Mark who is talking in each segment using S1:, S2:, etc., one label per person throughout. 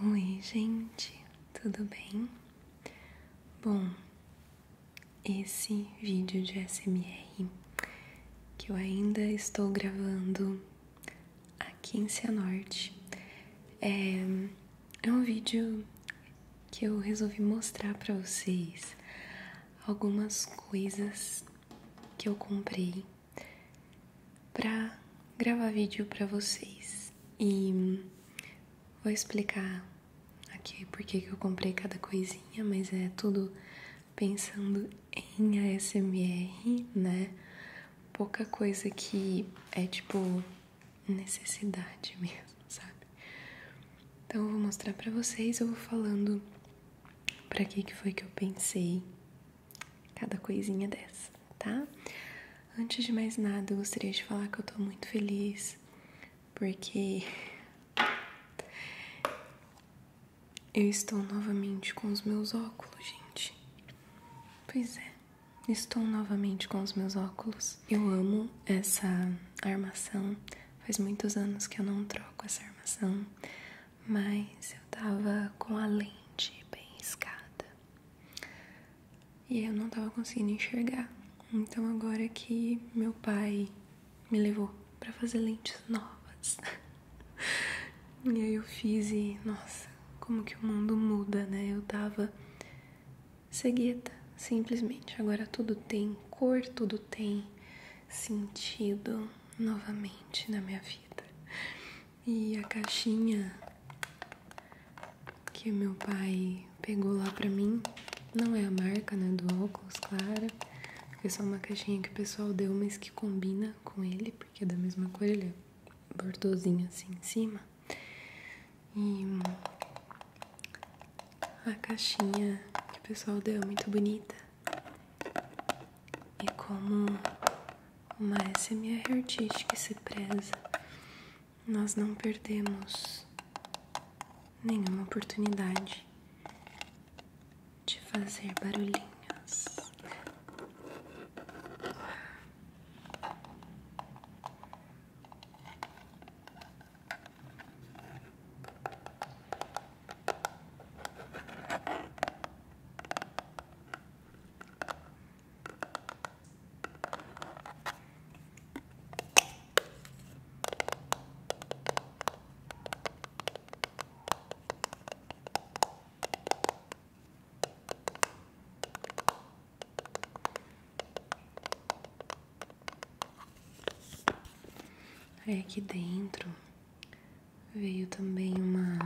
S1: Oi, gente, tudo bem? Bom, esse vídeo de SMR que eu ainda estou gravando aqui em Cianorte. É, é um vídeo que eu resolvi mostrar para vocês algumas coisas que eu comprei para gravar vídeo para vocês. E Vou explicar aqui por que eu comprei cada coisinha, mas é tudo pensando em ASMR, né? Pouca coisa que é tipo necessidade mesmo, sabe? Então eu vou mostrar para vocês, eu vou falando para que que foi que eu pensei cada coisinha dessa, tá? Antes de mais nada, eu gostaria de falar que eu tô muito feliz porque eu estou novamente com os meus óculos, gente. Pois é, estou novamente com os meus óculos. Eu amo essa armação. Faz muitos anos que eu não troco essa armação, mas eu tava com a lente bem riscada e eu não tava conseguindo enxergar. Então, agora que meu pai me levou para fazer lentes novas. e aí eu fiz e, nossa, como que o mundo muda, né? Eu tava cegueta, simplesmente. Agora tudo tem cor, tudo tem sentido novamente na minha vida. E a caixinha que meu pai pegou lá pra mim. Não é a marca, né, do óculos, claro. Porque é só uma caixinha que o pessoal deu, mas que combina com ele, porque é da mesma cor, ele é bordozinho assim em cima. E a caixinha que o pessoal deu é muito bonita. E como uma SMR artística se preza, nós não perdemos nenhuma oportunidade de fazer barulhinhos. Aí é aqui dentro veio também uma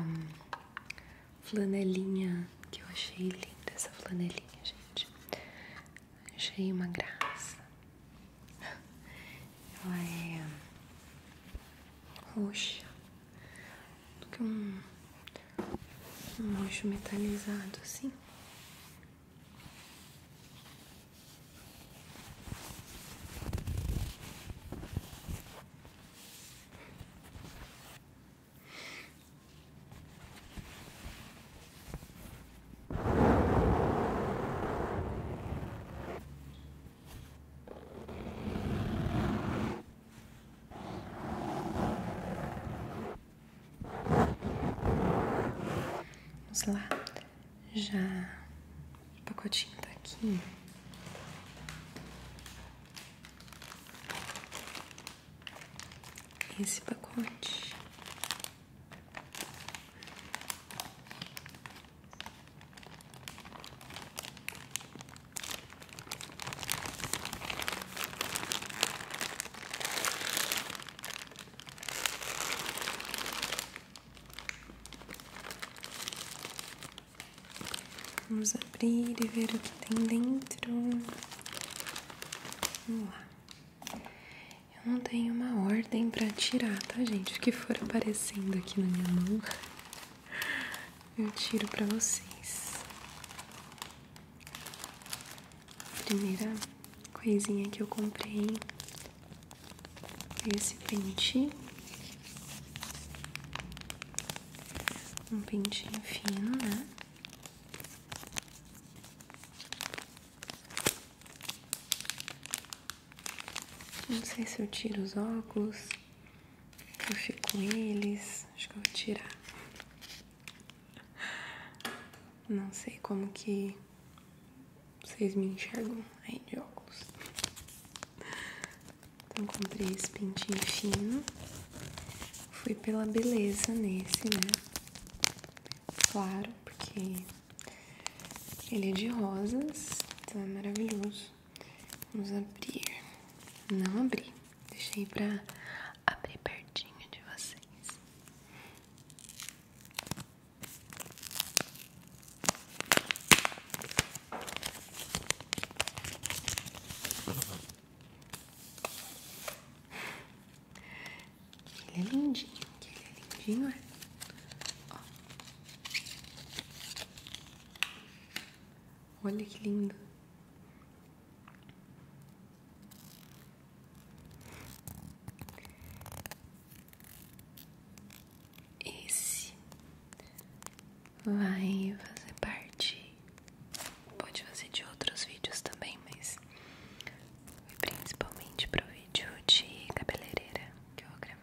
S1: flanelinha que eu achei linda essa flanelinha, gente. Achei uma graça. Ela é hum, roxa, do que um, um roxo metalizado assim. Vamos lá, já o pacotinho tá aqui. Esse pacote Vamos abrir e ver o que tem dentro. Vamos lá. Eu não tenho uma ordem para tirar, tá, gente? O que for aparecendo aqui na minha mão, eu tiro para vocês. Primeira coisinha que eu comprei esse pente. Um pentinho fino, né? Não sei se eu tiro os óculos, eu fico com eles, acho que eu vou tirar. Não sei como que vocês me enxergam aí de óculos. Então comprei esse pintinho fino. Fui pela beleza nesse, né? claro, porque ele é de rosas, então é maravilhoso. Vamos abrir. Não abri, deixei pra abrir pertinho de vocês. Ele é lindinho, ele é lindinho, é. Olha que lindo. Esse vai fazer parte. Pode fazer de outros vídeos também, mas e principalmente pro vídeo de cabeleireira que eu vou gravar.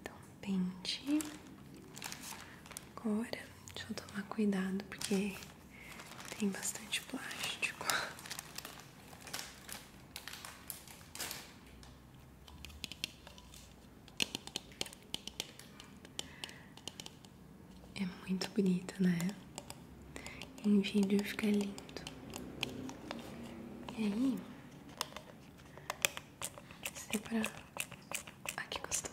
S1: Então, pente. Agora, deixa eu tomar cuidado porque tem bastante plástico. É muito bonito, né? Enfim, vídeo ficar lindo. E aí? Separar. Ah, que gostoso.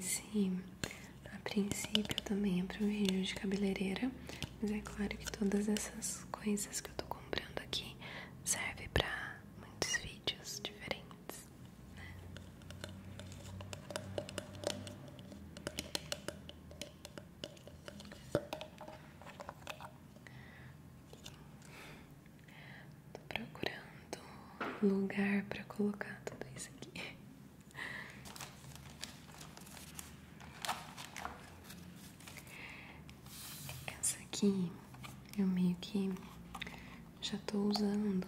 S1: sim a princípio, também é para um vídeo de cabeleireira, mas é claro que todas essas coisas que eu tô comprando aqui servem para muitos vídeos diferentes né? Tô procurando lugar para colocar tudo isso aqui. Essa aqui eu meio que já tô usando,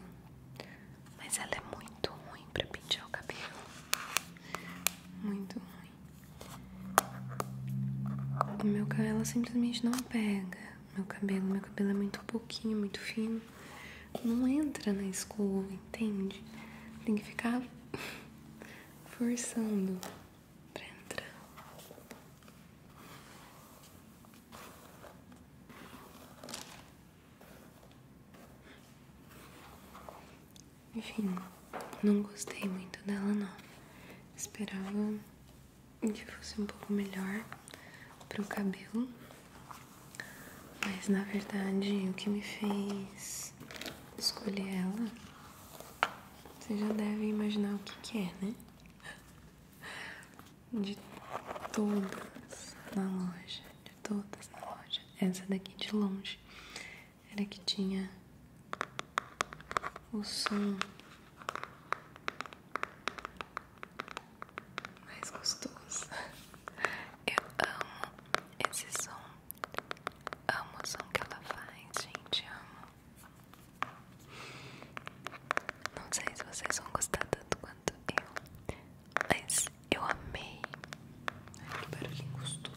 S1: mas ela é muito ruim pra pintar o cabelo, muito ruim. O meu cabelo ela simplesmente não pega. Meu cabelo, meu cabelo é muito pouquinho, muito fino, não entra na escova, entende? Tem que ficar forçando pra entrar. Enfim, não gostei muito dela não. Esperava que fosse um pouco melhor para o cabelo. Mas na verdade o que me fez escolher ela, vocês já devem imaginar o que, que é, né? de todas na loja, de todas na loja. Essa daqui de longe era que tinha o som mais gostoso. Eu amo esse som, amo o som que ela faz, gente, amo. Não sei se vocês vão gostar tanto quanto eu, mas eu amei. Ai, que gostoso.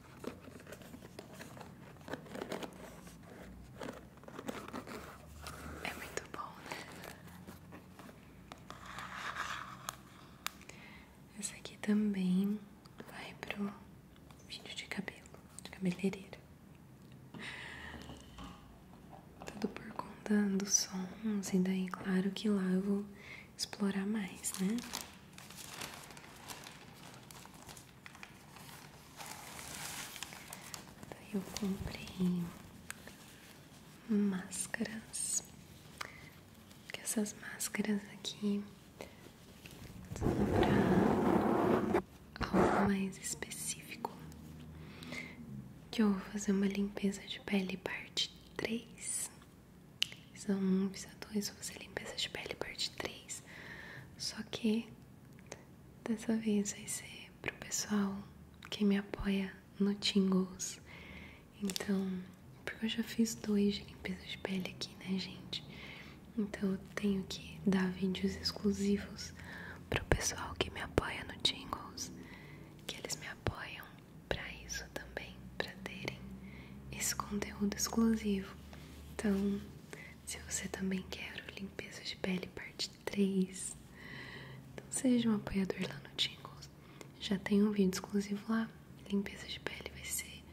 S1: É muito bom, né? Essa aqui também vai pro vídeo de cabelo, de cabeleireiro. Tudo por conta dos sons, e daí, claro que lá eu vou explorar mais, né? eu comprei máscaras, que essas máscaras aqui são para algo mais específico. Que eu vou fazer uma limpeza de pele parte 3. Visa 1, Visa 2, vou fazer limpeza de pele parte 3. Só que dessa vez vai ser pro pessoal que me apoia no Tingles. Então, porque eu já fiz dois de limpeza de pele aqui, né, gente? Então eu tenho que dar vídeos exclusivos pro pessoal que me apoia no Tingles, que eles me apoiam para isso também, para terem esse conteúdo exclusivo. Então, se você também quer o limpeza de pele parte 3, então seja um apoiador lá no Tingles. Já tem um vídeo exclusivo lá. Limpeza de pele vai ser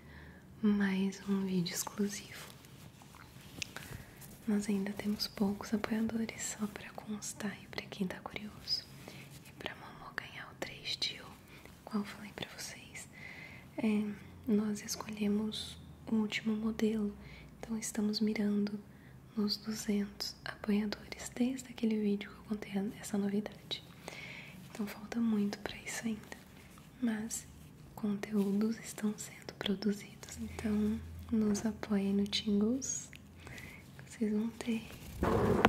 S1: mais um vídeo exclusivo. Nós ainda temos poucos apoiadores, só para constar e para quem tá curioso. E para mamô ganhar o 3 de ouro qual eu falei para vocês, é, nós escolhemos o último modelo, então estamos mirando nos 200 apoiadores desde aquele vídeo que eu contei essa novidade. Então falta muito para isso ainda, mas conteúdos estão sendo produzidos. Então nos apoiem no Tingles, vocês vão ter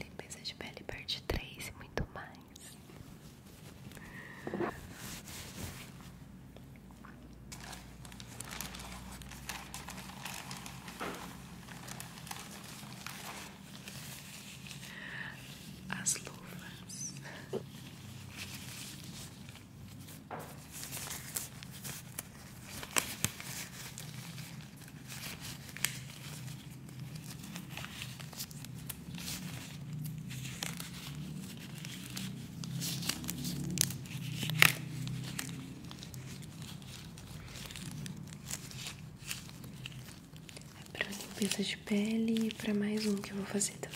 S1: limpeza de pele parte 3 e muito mais. As luvas. É pra limpeza de pele e para mais um que eu vou fazer também.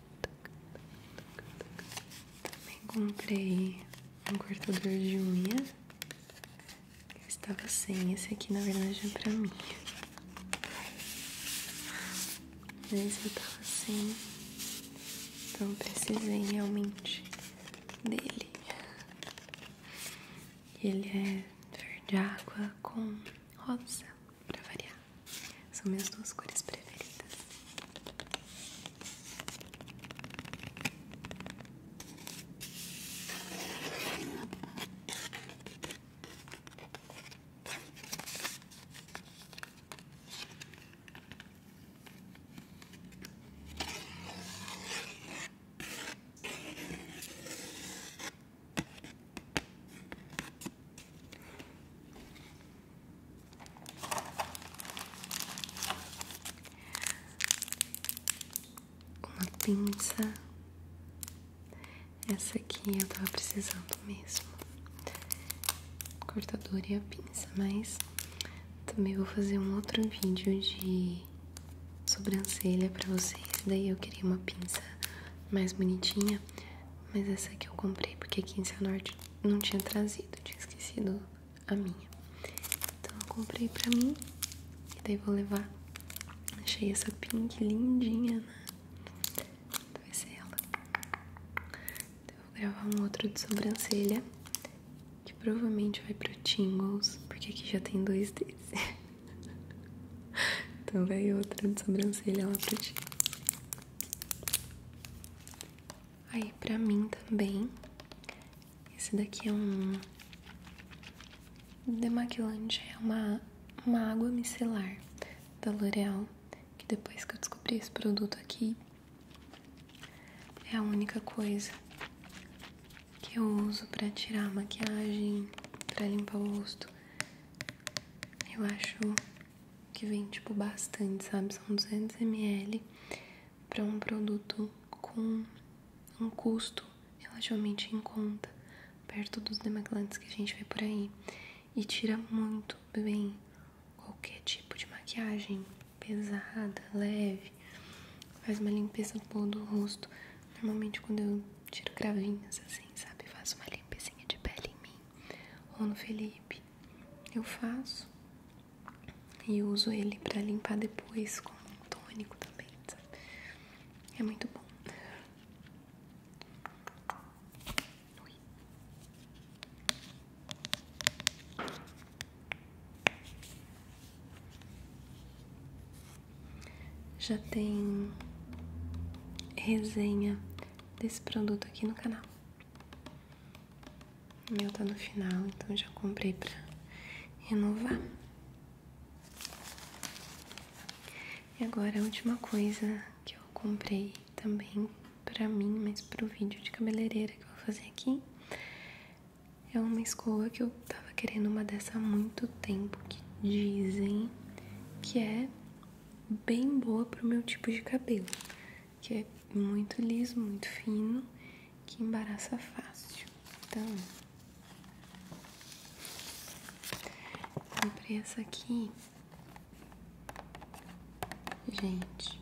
S1: Também comprei um cortador de unha. Eu estava sem. Esse aqui, na verdade, é para mim. Mas eu tava sem. Então, precisei realmente dele. Ele é verde água com rosa, para variar. São minhas duas cores preferidas. Uma pinça. Essa aqui eu tava precisando mesmo. Cortador e a pinça, mas também vou fazer um outro vídeo de sobrancelha pra vocês. Daí eu queria uma pinça mais bonitinha, mas essa aqui eu comprei porque aqui em São Norte não tinha trazido, tinha esquecido a minha. Então eu comprei pra mim e daí vou levar. Achei essa pink lindinha, né? Então vai ser ela. Então, vou gravar um outro de sobrancelha, que provavelmente vai pro Tingles, porque aqui já tem dois desse. então vai outra de sobrancelha lá pro Tingles. Aí, pra mim também, esse daqui é um demaquilante, é uma, água micelar da L'Oreal, que depois que eu descobri esse produto aqui, é a única coisa que eu uso pra tirar a maquiagem, pra limpar o rosto. Eu acho que vem tipo bastante, sabe? São 200 ml para um produto com um custo relativamente em conta, perto dos demaquilantes que a gente vê por aí. E tira muito bem qualquer tipo de maquiagem pesada, leve, faz uma limpeza boa do rosto. Normalmente quando eu tiro cravinhas assim, sabe? Faço uma limpezinha de pele em mim ou no Felipe eu faço e uso ele para limpar depois com tônico também, sabe? É muito bom. Ui. Já tem resenha desse produto aqui no canal. Meu tô tá no final, então já comprei pra renovar. E agora a última coisa que eu comprei também pra mim, mas pro vídeo de cabeleireira que eu vou fazer aqui, é uma escova que eu tava querendo uma dessa há muito tempo, que dizem que é bem boa pro meu tipo de cabelo que é muito liso, muito fino, que embaraça fácil. Então, comprei essa aqui. Gente,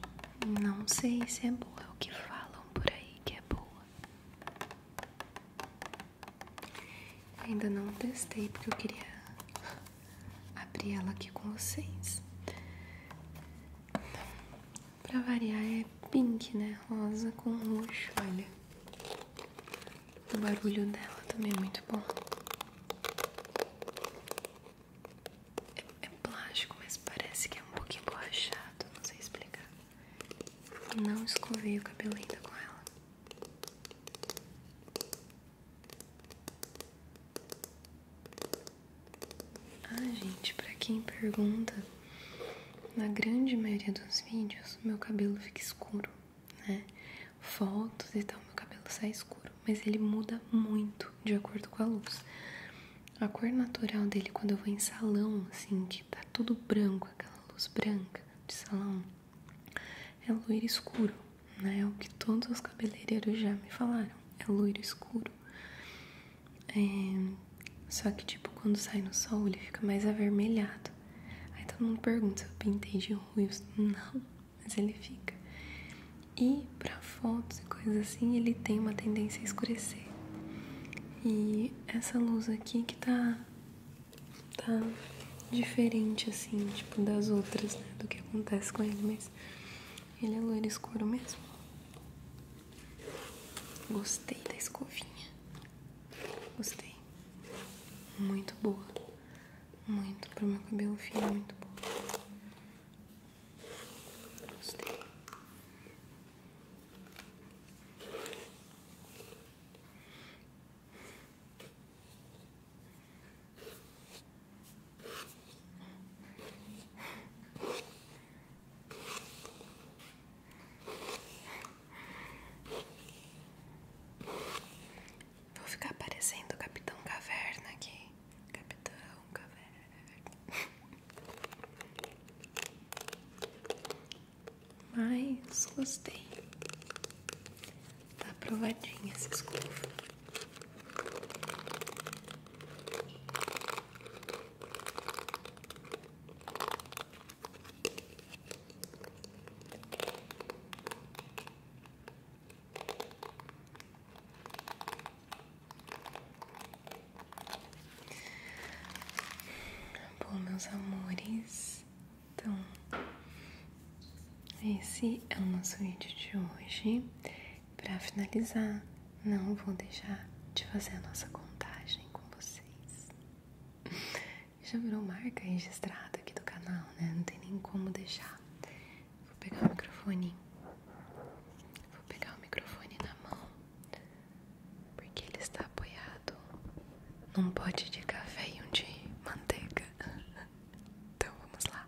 S1: não sei se é boa, é o que falam por aí que é boa. Ainda não testei porque eu queria abri ela aqui com vocês. Pra variar é pink, né? Rosa com roxo, olha. O barulho dela também é muito bom. É, é plástico, mas parece que é um pouco emborrachado não sei explicar. Não escovei o cabelo ainda com ela. Ah, gente, pra quem pergunta, na grande maioria dos vídeos, meu cabelo fica escuro, né? Fotos e tal, meu cabelo sai escuro, mas ele muda muito de acordo com a luz. A cor natural dele quando eu vou em salão, assim, que tá tudo branco, aquela luz branca de salão, é loiro escuro é O que todos os cabeleireiros já me falaram. É loiro escuro. É, só que, tipo, quando sai no sol, ele fica mais avermelhado. Aí todo mundo pergunta se eu pintei de ruivo. Não, mas ele fica. E para fotos e coisas assim, ele tem uma tendência a escurecer. E essa luz aqui que tá. tá diferente, assim, tipo, das outras, né? Do que acontece com ele, mas ele é loiro escuro mesmo. Gostei da escovinha. Gostei. Muito boa. Muito pro meu cabelo fino, muito boa. Gostei. Vou ficar parecendo o Capitão Caverna aqui. Capitão Caverna. Mas gostei. Tá aprovadinha esse escova. Bom, meus amores, então esse é o nosso vídeo de hoje. Para finalizar, não vou deixar de fazer a nossa contagem com vocês. Já virou marca registrada aqui do canal, né? Não tem nem como deixar. Vou pegar o microfone. Vou pegar o microfone na mão. Porque ele está apoiado num pote de café e um de manteiga. Então vamos lá.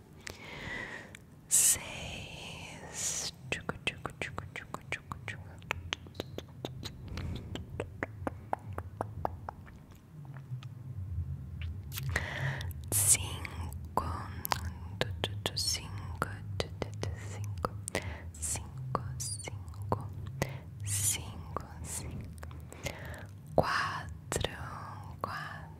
S1: seis, tchucu, tchucu, tchucu, tchucu, tchucu, tchucu. cinco, tu, tu, tu, cinco, tu, tu, tu, cinco, cinco, cinco, cinco, cinco, quatro, quatro.